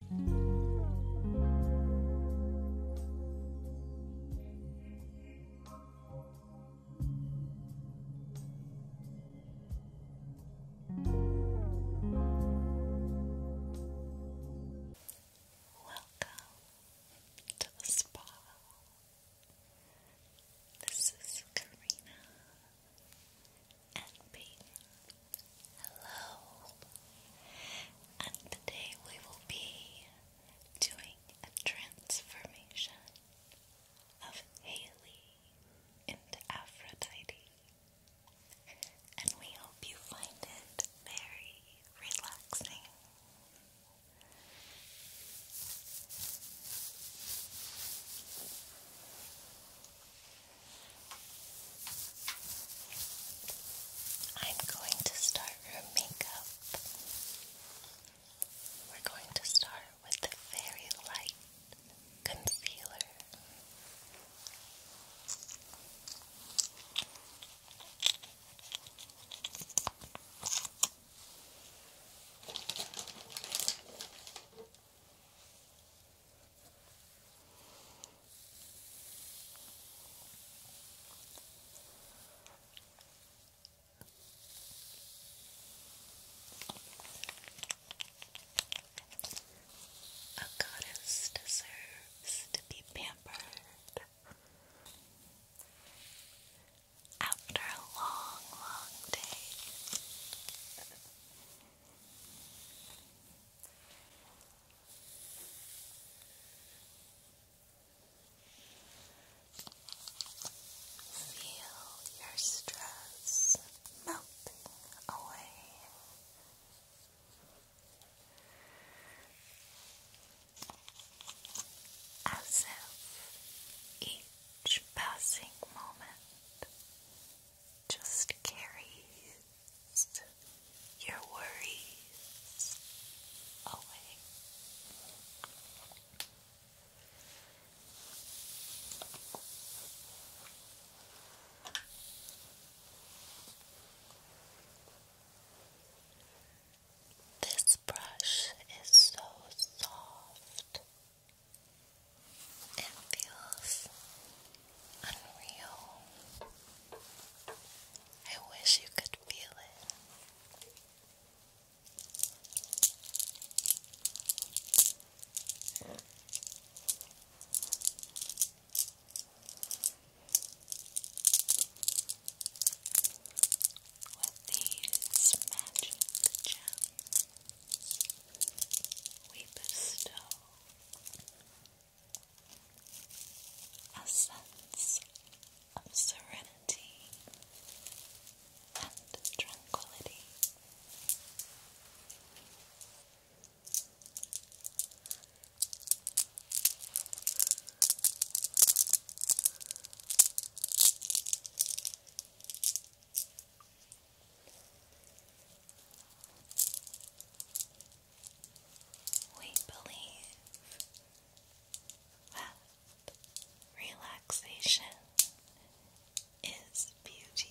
Welcome to the spa. This is Karina, and Hello. And today we will be doing a transformation of Haley into Aphrodite. And we hope you find it very relaxing. I'm going to start room makeup. We're going to start with the very light concealer. A goddess deserves to be pampered. After a long, long day, Feel your stress melting away. As if each passing moment just carries your worries away. This brush is so soft. It feels unreal. I wish you could feel it. With these magic gems, we bestow a of serenity and tranquility we believe that relaxation is beauty.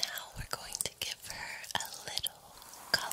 Now we're going to give her a little color.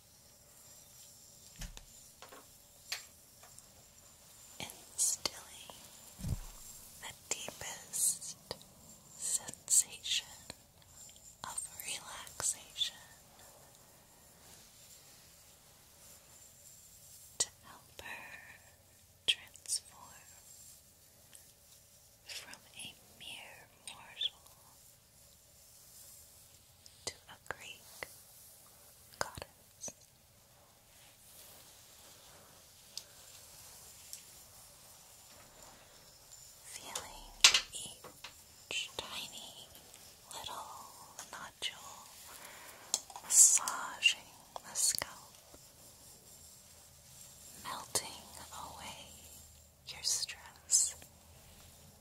stilling the deepest sensation of relaxation to help her transform from a mere mortal to a Greek goddess. Feeling each tiny little nodule massaging the scalp, melting away your stress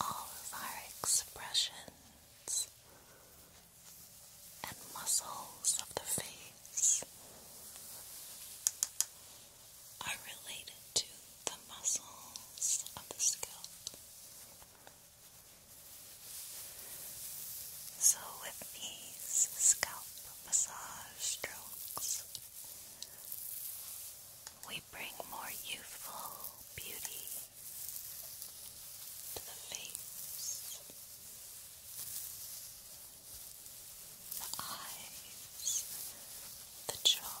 All of our expressions and muscles of the face are related to the muscles of the scalp. So, with these scalp massage strokes, we bring more youthful beauty to the face, the eyes, the jaw.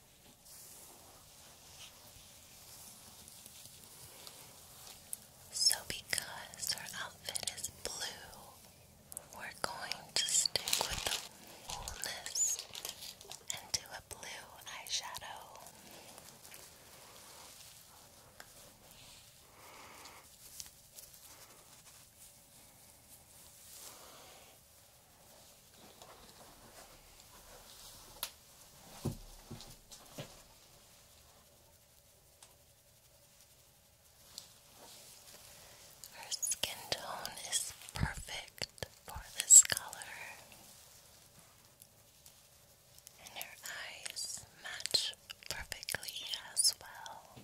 So, because her outfit is blue, we're going to stick with the coolness and do a blue eyeshadow. Her skin tone is perfect for this color, and her eyes match perfectly as well.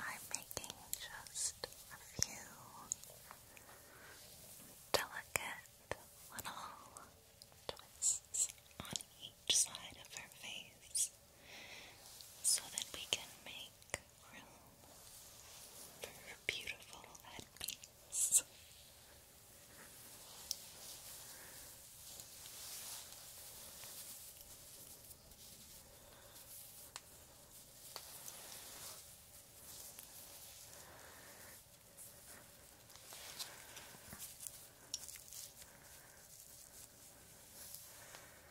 I'm making just a few delicate little twists on each side of her face so that we can make room for beautiful headpiece.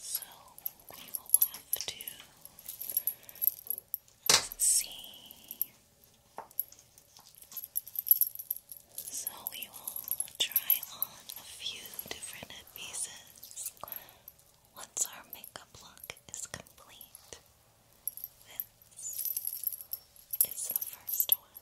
So we will have to see. So we will try on a few different pieces once our makeup look is complete, this is the first one.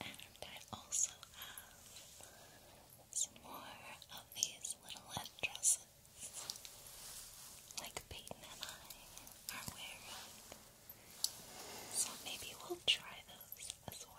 And I also have some more of these little dresses like Peyton and I are wearing. So maybe we'll try those as well.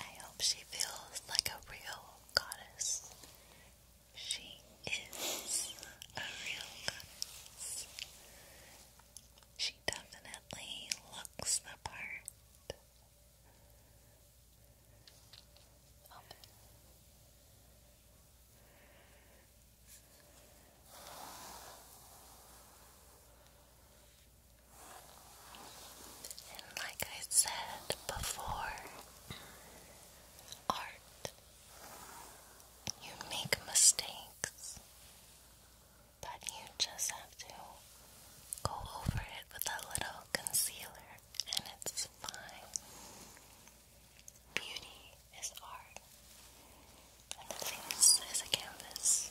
I hope she feels like a real goddess. She is a real goddess. She definitely looks the part. And like I said before, art, you make mistakes, but you just have to go over it with a little concealer, and it's fine. Beauty is art, and the face is a canvas.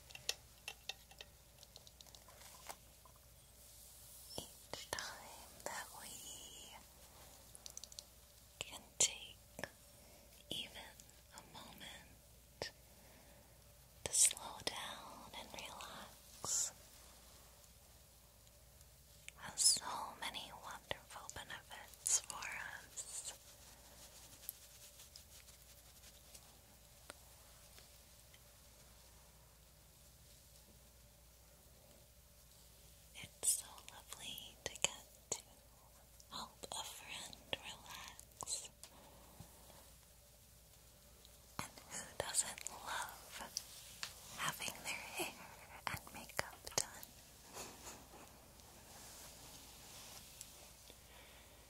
Each time that we can take even a moment to slow down and relax has so many wonderful benefits for us. It's so lovely to get to help a friend relax. And who doesn't love having their hair and makeup done?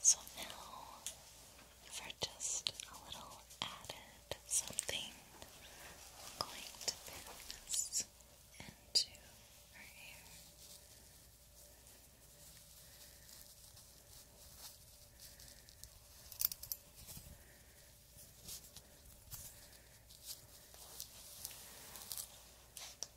So now, for just a little added something, I'm going to pin this into her hair.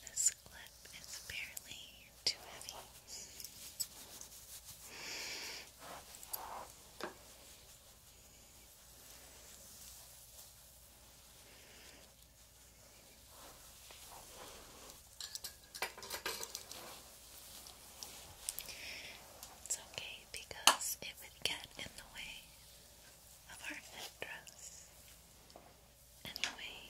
This clip is barely too heavy. It's okay because it would get in the way of our headdress anyway.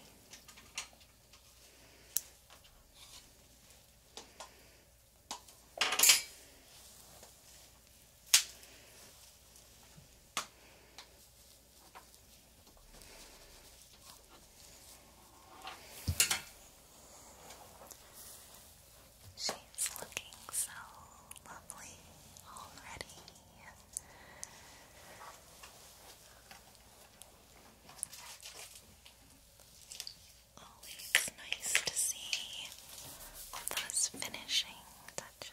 She's looking so lovely already always nice to see those finishing touches.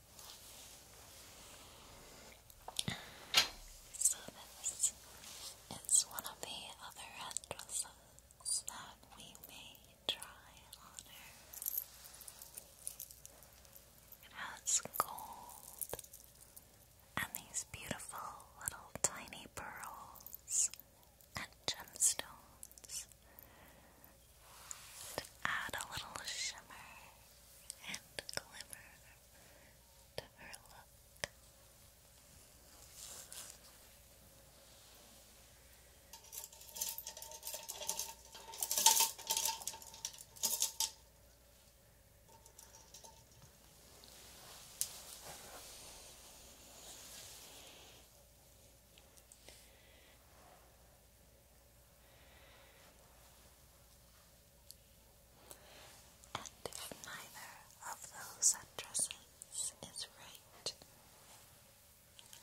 So this is one of the other dresses that we may try on her. It has gold and these beautiful little tiny pearls and gemstones to add a little shimmer and glimmer to her look. And if neither of those addresses is right,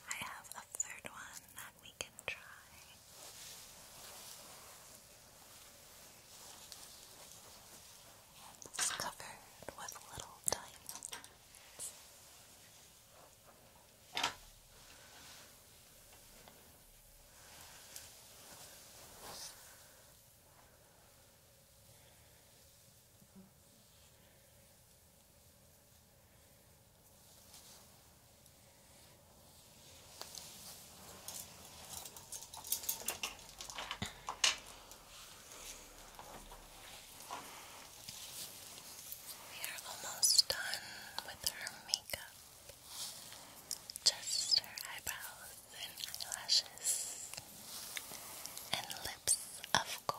I have a third one that we can try. It's covered with little diamonds. We are almost done with her makeup just her eyebrows and eyelashes, and lips, of course.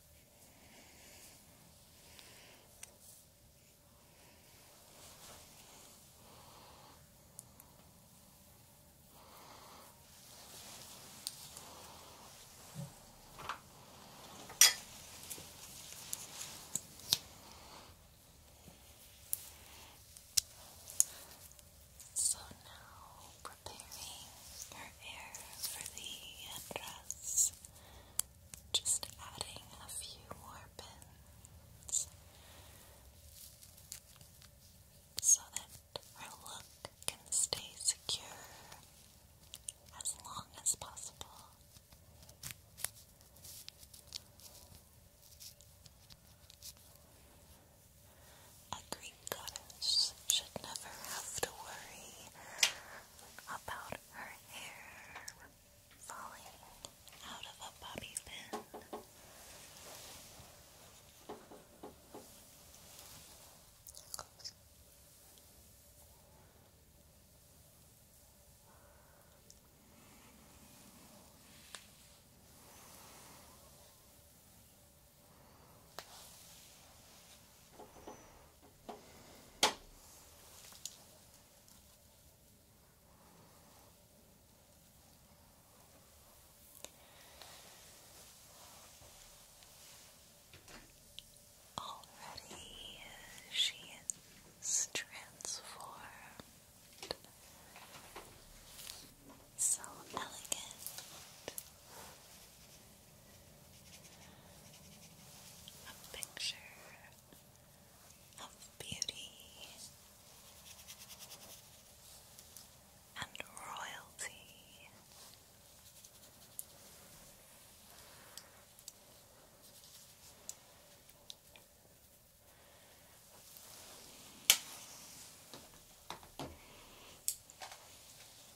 So now, from preparing her hair for the headdress, just adding a few more pins so that her look can stay secure as long as possible. A Greek goddess should never have to worry about her hair falling out of a bobby pin. Already she is transformed, so elegant, a picture of beauty and royalty.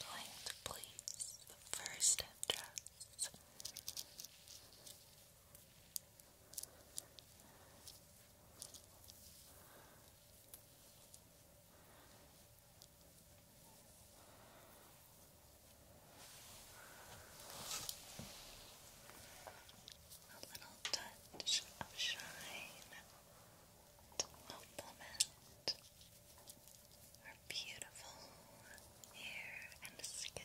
Going to place the first address. Right a little touch of shine to complement our beautiful hair and skin.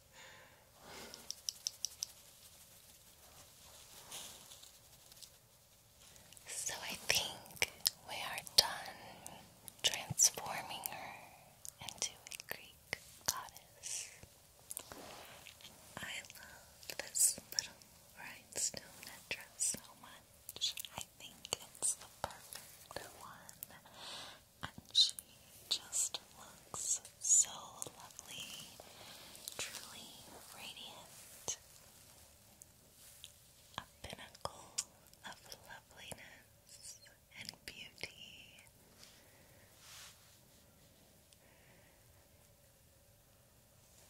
So I think we are done transforming her into a Greek goddess. I love this little rhinestone dress so much. I think it's the perfect one. And she just looks so lovely, truly radiant, a pinnacle of loveliness and beauty.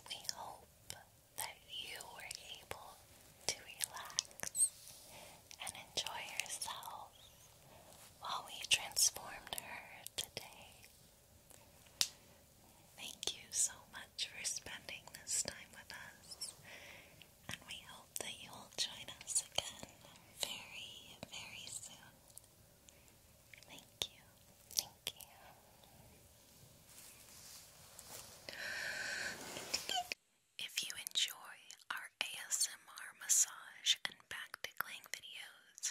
We hope that you were able to relax and enjoy yourself while we transformed her today. Thank you so much for spending this time with us, and we hope that you will join us again very, very soon. Thank you. Thank you. If you enjoy our ASMR massage and back tickling videos,